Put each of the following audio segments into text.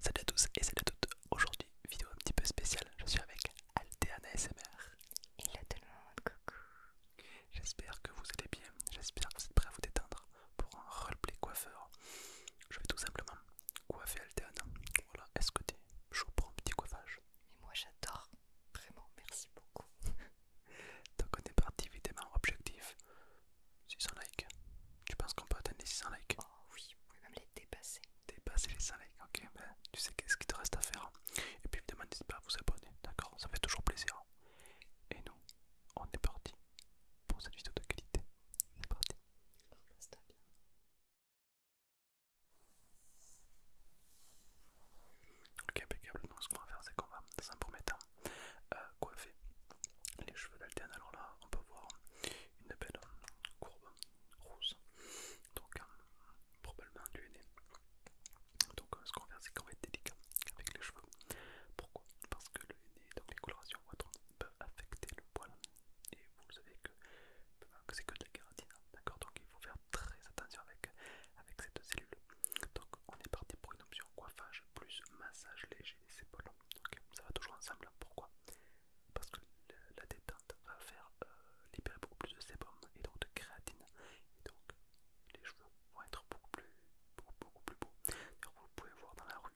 Salut à tous et salut à toutes. Aujourd'hui, vidéo un petit peu spéciale. Je suis avec Alteana SMR. là tout le monde, coucou. J'espère que vous allez bien. J'espère que vous êtes prêts à vous détendre pour un roleplay coiffeur. Je vais tout simplement coiffer Alteana. Voilà, est-ce que es chaud pour un petit coiffage Mais moi j'adore. Vraiment, merci beaucoup. Donc on est parti évidemment objectif. 600 likes. Tu penses qu'on peut atteindre les 600 likes Oh oui, vous pouvez même les dépasser. Dépasser les 100 likes, ok. tu sais qu'est-ce qu'il te reste à faire. Hein. Et puis évidemment, n'hésite pas à vous abonner, d'accord Ça fait toujours plaisir. Hein. Et nous, on est parti pour cette vidéo de qualité. C'est parti. repasse bien. Ok, impeccable. Donc, ce qu'on va faire, c'est qu'on va, dans un premier temps, euh, coiffer les cheveux d'Alterne. Alors là, on peut voir une belle euh, courbe rose, donc euh, probablement du ND Donc euh, ce qu'on va faire c'est qu'on va être délicat avec les cheveux. Pourquoi Parce que le aîné, donc les colorations autres, peuvent affecter le poil. Et vous savez que, c'est que de la kératine, hein, d'accord Donc il faut faire très attention avec, avec cette cellule. Donc on est parti pour une option coiffage plus massage léger des épaules. Donc ça va toujours ensemble. Pourquoi parce que la détente va faire euh, libérer beaucoup plus de sébum et donc de créatine et donc les cheveux vont être beaucoup plus beaucoup, plus beaux. vous pouvez voir dans la rue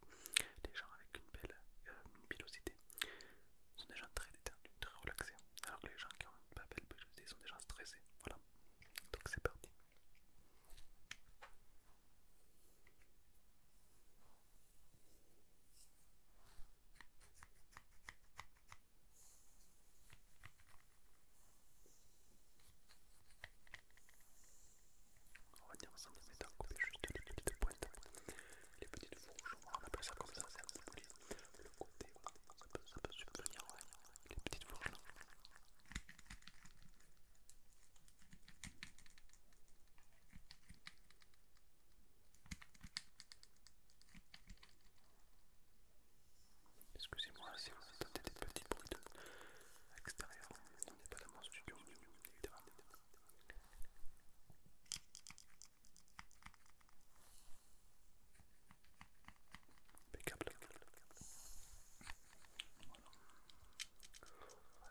des gens avec une belle euh, pilosité sont des gens très détendus, très relaxés, alors que les gens qui ont une pas belle pilosité sont des gens stressés. Voilà, donc c'est parti. On va dire ensemble les à couper juste les petites pointes, les petites fourches, on appelle ça comme ça, c'est un petit le côté, ça peut, ça peut subvenir, les petites fourches. Excusez-moi si vous entendez des petits bruits de l'extérieur, on n'est pas dans mon studio, évidemment. Impeccable. Voilà. On va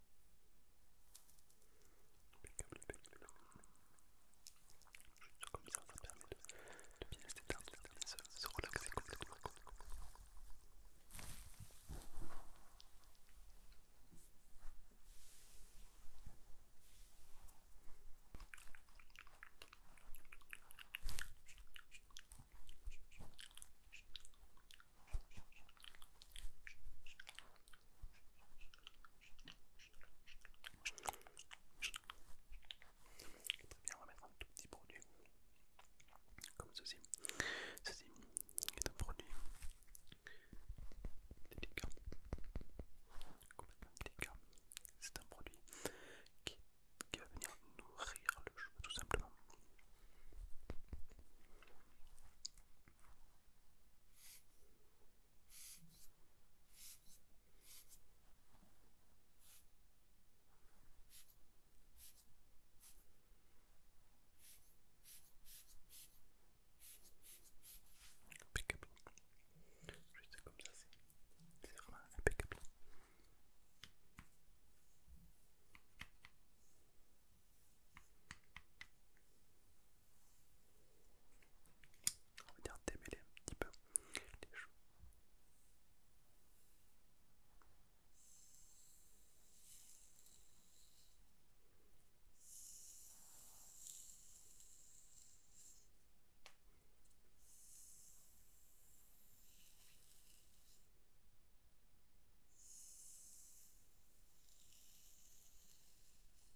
Juste comme ça, ça permet de, bien se de se, se relaxer complètement. Très bien, on va mettre un tout petit produit comme ceci. Ceci est un produit délicat, complètement délicat. C'est un produit qui, qui va venir nourrir le cheveu tout simplement. Impeccable. Juste comme ça, c'est vraiment impeccable on va démêler un petit peu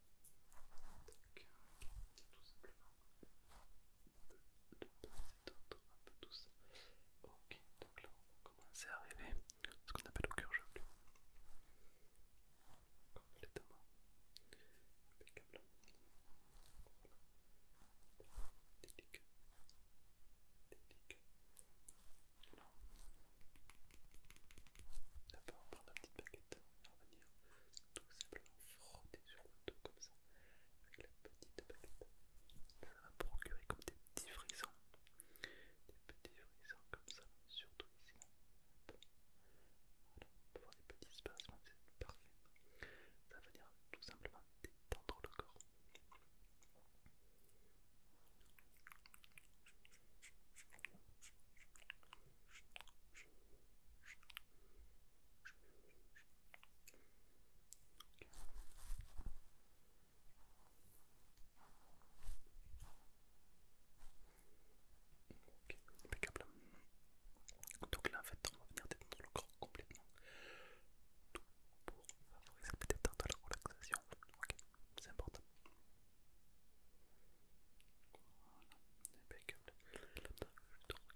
Donc, tout simplement, on peut un peu tout ça. Ok, donc là on va commencer à arriver à ce qu'on appelle au cœur jaune. Complètement impeccable. Délicat, délicat. D'abord, prendre une petite baguette va venir tout simplement frotter sur le dos comme ça avec la petite baguette. Ça va procurer comme des petits frissons, des petits frissons comme ça, surtout ici. Voilà, on peut voir des petits spasmes, c'est parfait. Ça va venir tout simplement détendre le corps. Ok, impeccable. Donc là, en fait, on va venir détendre le corps complètement, pour favoriser peut-être la relaxation. Ok, c'est important. Voilà, impeccable. regarder un truc,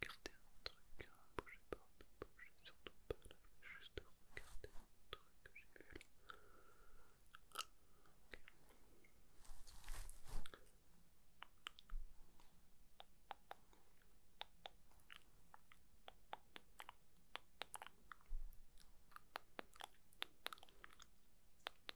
bougez pas, ne bougez surtout pas je juste regarder un truc que j'ai vu là.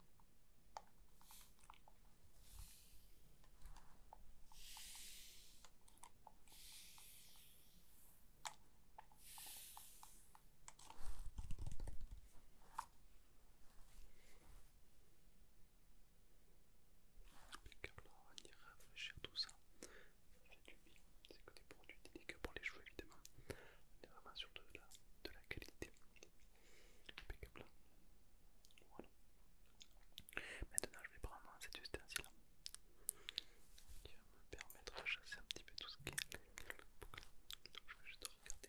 on va venir rafraîchir tout ça. du c'est que des produits que pour les cheveux évidemment. On est vraiment sur de la qualité. Impeccable. Voilà. Maintenant, je vais prendre cette ustensile qui va me permettre de chasser un petit peu tout ce qui est. Donc, je vais juste regarder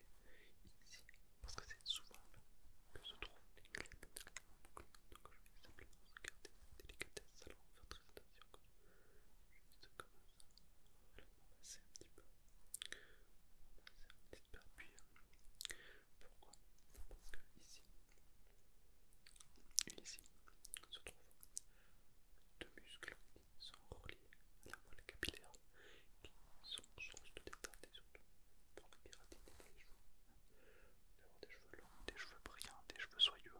ici parce que c'est souvent là que se trouvent les clés de boucle. Donc, je vais simplement regarder la délicatesse. Alors, on faire très attention. Juste comme ça. On un petit peu. C'est une Pourquoi Parce que ici et ici se trouvent deux muscles qui sont reliés à la moelle capillaire qui sont source de détente et surtout pour la kératine des cheveux. D'avoir des cheveux longs, des cheveux brillants, des cheveux soyeux.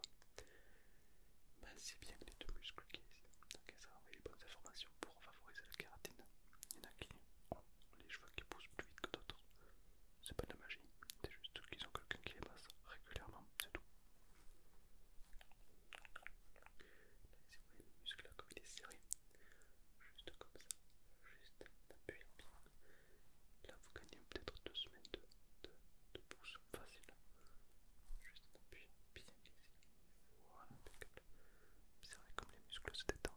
Mais c'est bien que les deux muscles qui sont ici. Donc ça envoie les bonnes informations pour pour favoriser la kératine. Il y en a qui ont les cheveux qui poussent plus vite que d'autres. C'est pas de la magie, c'est juste qu'ils ont quelqu'un qui les masse régulièrement, c'est tout. Là, ici vous voyez le muscle là, comme il est serré, juste comme ça, juste en appuyant Là, vous gagnez peut-être deux semaines de, de, facile, juste en appuyant bien ici. Voilà, Observez comme les muscles se détendent.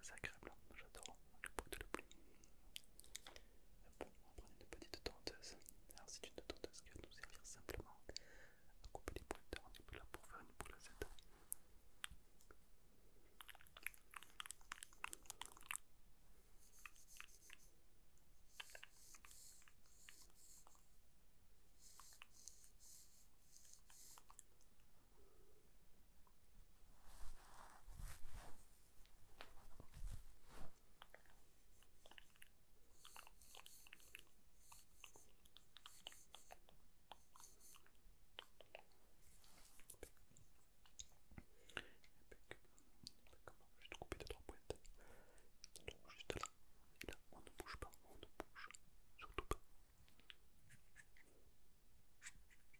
C'est agréable, hein. j'adore le bruit de la pluie. Bon, on va prendre une petite tenteuse. Alors, c'est une tenteuse qui va nous servir simplement à couper les boules d'or. On est là pour faire une boule je coupé te couper de Donc juste là, et là, on ne bouge pas, on ne bouge surtout pas. Coupez, coupez les petites petites Alors,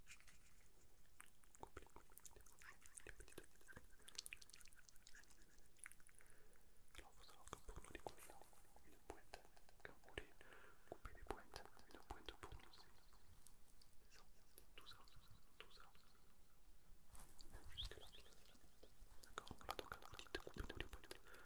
faut savoir que pour les a une pointe, couper les pointes, une pointe pour nous tout ça, jusque là, d'accord Là donc, couper les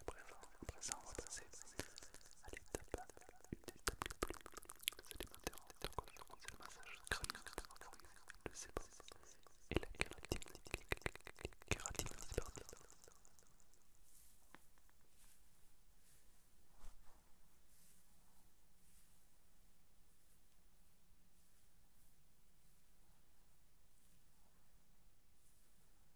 À présent, on va passer à l'étape, c'est le massage et la kératine,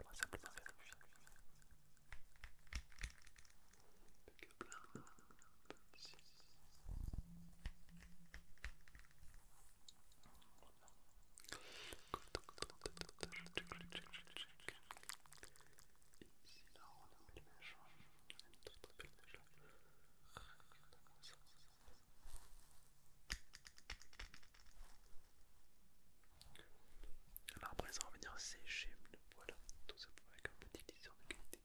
On va simplement vérifier. Ici, là, on a une belle mèche. On a belle alors après ça on va venir sécher le poil, tout ça avec un petit liseur de qualité.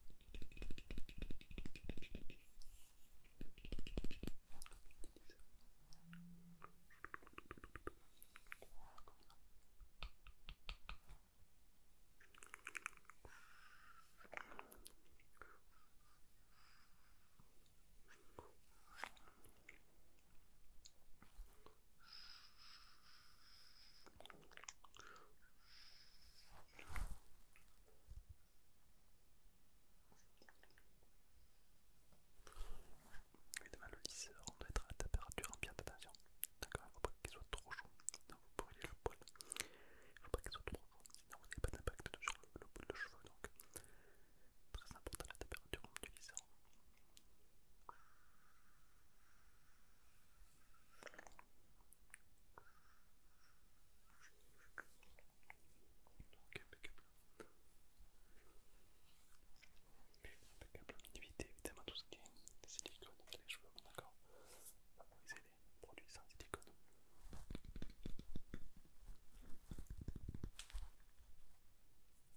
Évidemment, le lisseur, on doit être à la température ambiante, attention. D'accord, il ne faut pas qu'il soit trop chaud, sinon vous brûlez le poil. Il ne faut pas qu'il soit trop chaud, sinon vous n'avez pas d'impact sur le, le, de cheveux. Très important la température omnilisante. Donc impeccable. Impeccable. Évitez évidemment tout ce qui est silicone dans les cheveux, d'accord Favorisez les produits sans silicone.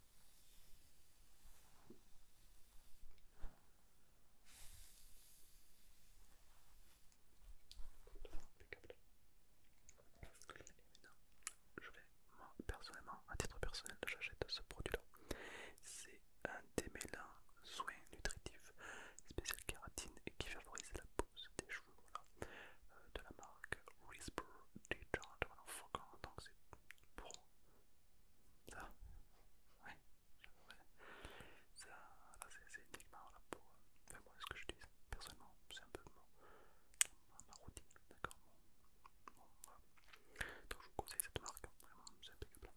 je vais, moi personnellement, à titre personnel, j'achète ce produit-là. C'est un démêlant soin nutritif spécial kératine et qui favorise la pousse des cheveux. Euh, de la marque Dark Whisper Déjà, voilà, faut qu'on donc c'est pour ça. oui, Ça, là, c'est énigma, pour. Euh, faire moi, ce que je dis, personnellement, c'est un peu ma routine, d'accord Donc, je vous conseille cette marque, hein, vraiment, c'est impeccable.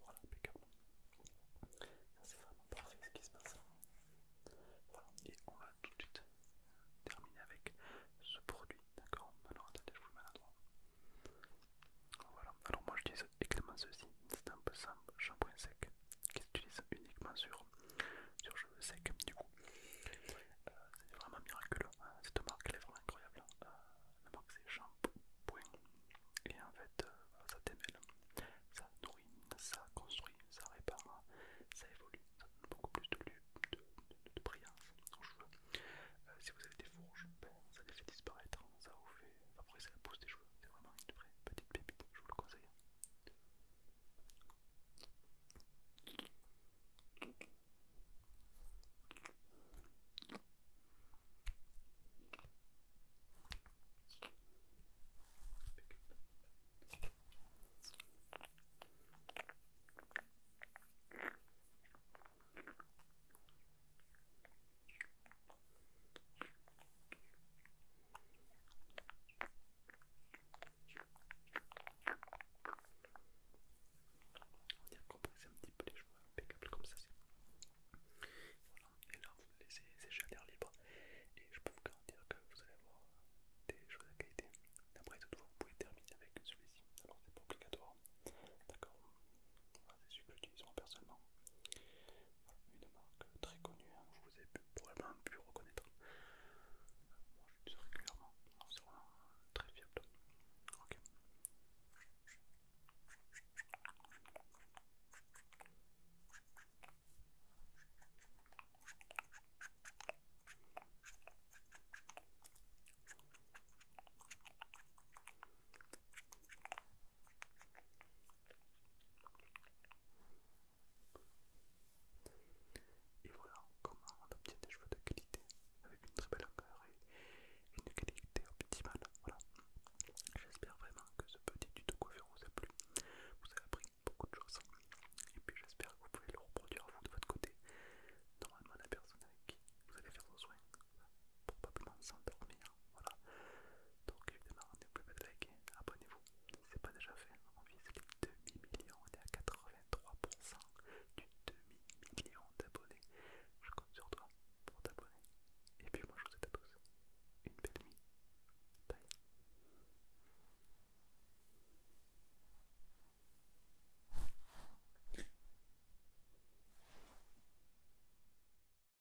Voilà, impeccable. C'est vraiment parfait ce qui se passe. et on va tout de suite terminer avec ce produit, d'accord Alors attendez, je vous le mets à droite alors moi j'utilise également ceci, c'est un peu simple, shampoing sec qui s'utilise uniquement sur, cheveux secs du coup. Euh, c'est vraiment miraculeux, hein. cette marque elle est vraiment incroyable. Hein. Euh, la marque c'est shampoing et en fait euh, ça démêle, ça nourrit, ça construit, ça répare, hein. ça évolue, ça donne beaucoup plus de, de, de, brillance aux cheveux. si vous avez des fourches, ben, ça les fait disparaître, ça vous fait après c'est la pousse des joueurs, c'est vraiment une vraie petite pépite, je vous le conseille. On vient compresser un petit peu les cheveux, impeccable comme ça. Voilà, et là vous laissez ces à l'air libre. Et je peux vous garantir que vous allez avoir des choses de qualité. Après, toutefois, vous pouvez terminer avec celui-ci. Alors, c'est pas obligatoire. D'accord c'est celui que j'utilise moi personnellement. une marque très connue, je hein, vous ai probablement pu reconnaître. Moi l'utilise régulièrement, c'est vraiment euh, très fiable. Ok. Et voilà comment on obtient des cheveux de qualité avec une très belle encœur et une qualité optimale. Voilà. J'espère vraiment que ce petit tuto coiffure vous a plu. Vous avez appris beaucoup de choses. Et puis j'espère que vous pouvez le reproduire vous de votre côté. Normalement la personne avec qui vous allez faire vos soins probablement s'endormir. Voilà. Donc évidemment, on pas plus liker, like, abonnez-vous, si c'est pas déjà fait, on vise les demi-millions, on est à 83% du demi-million d'abonnés. Je compte sur toi pour t'abonner. Et puis moi je vous souhaite à tous une belle nuit. Bye.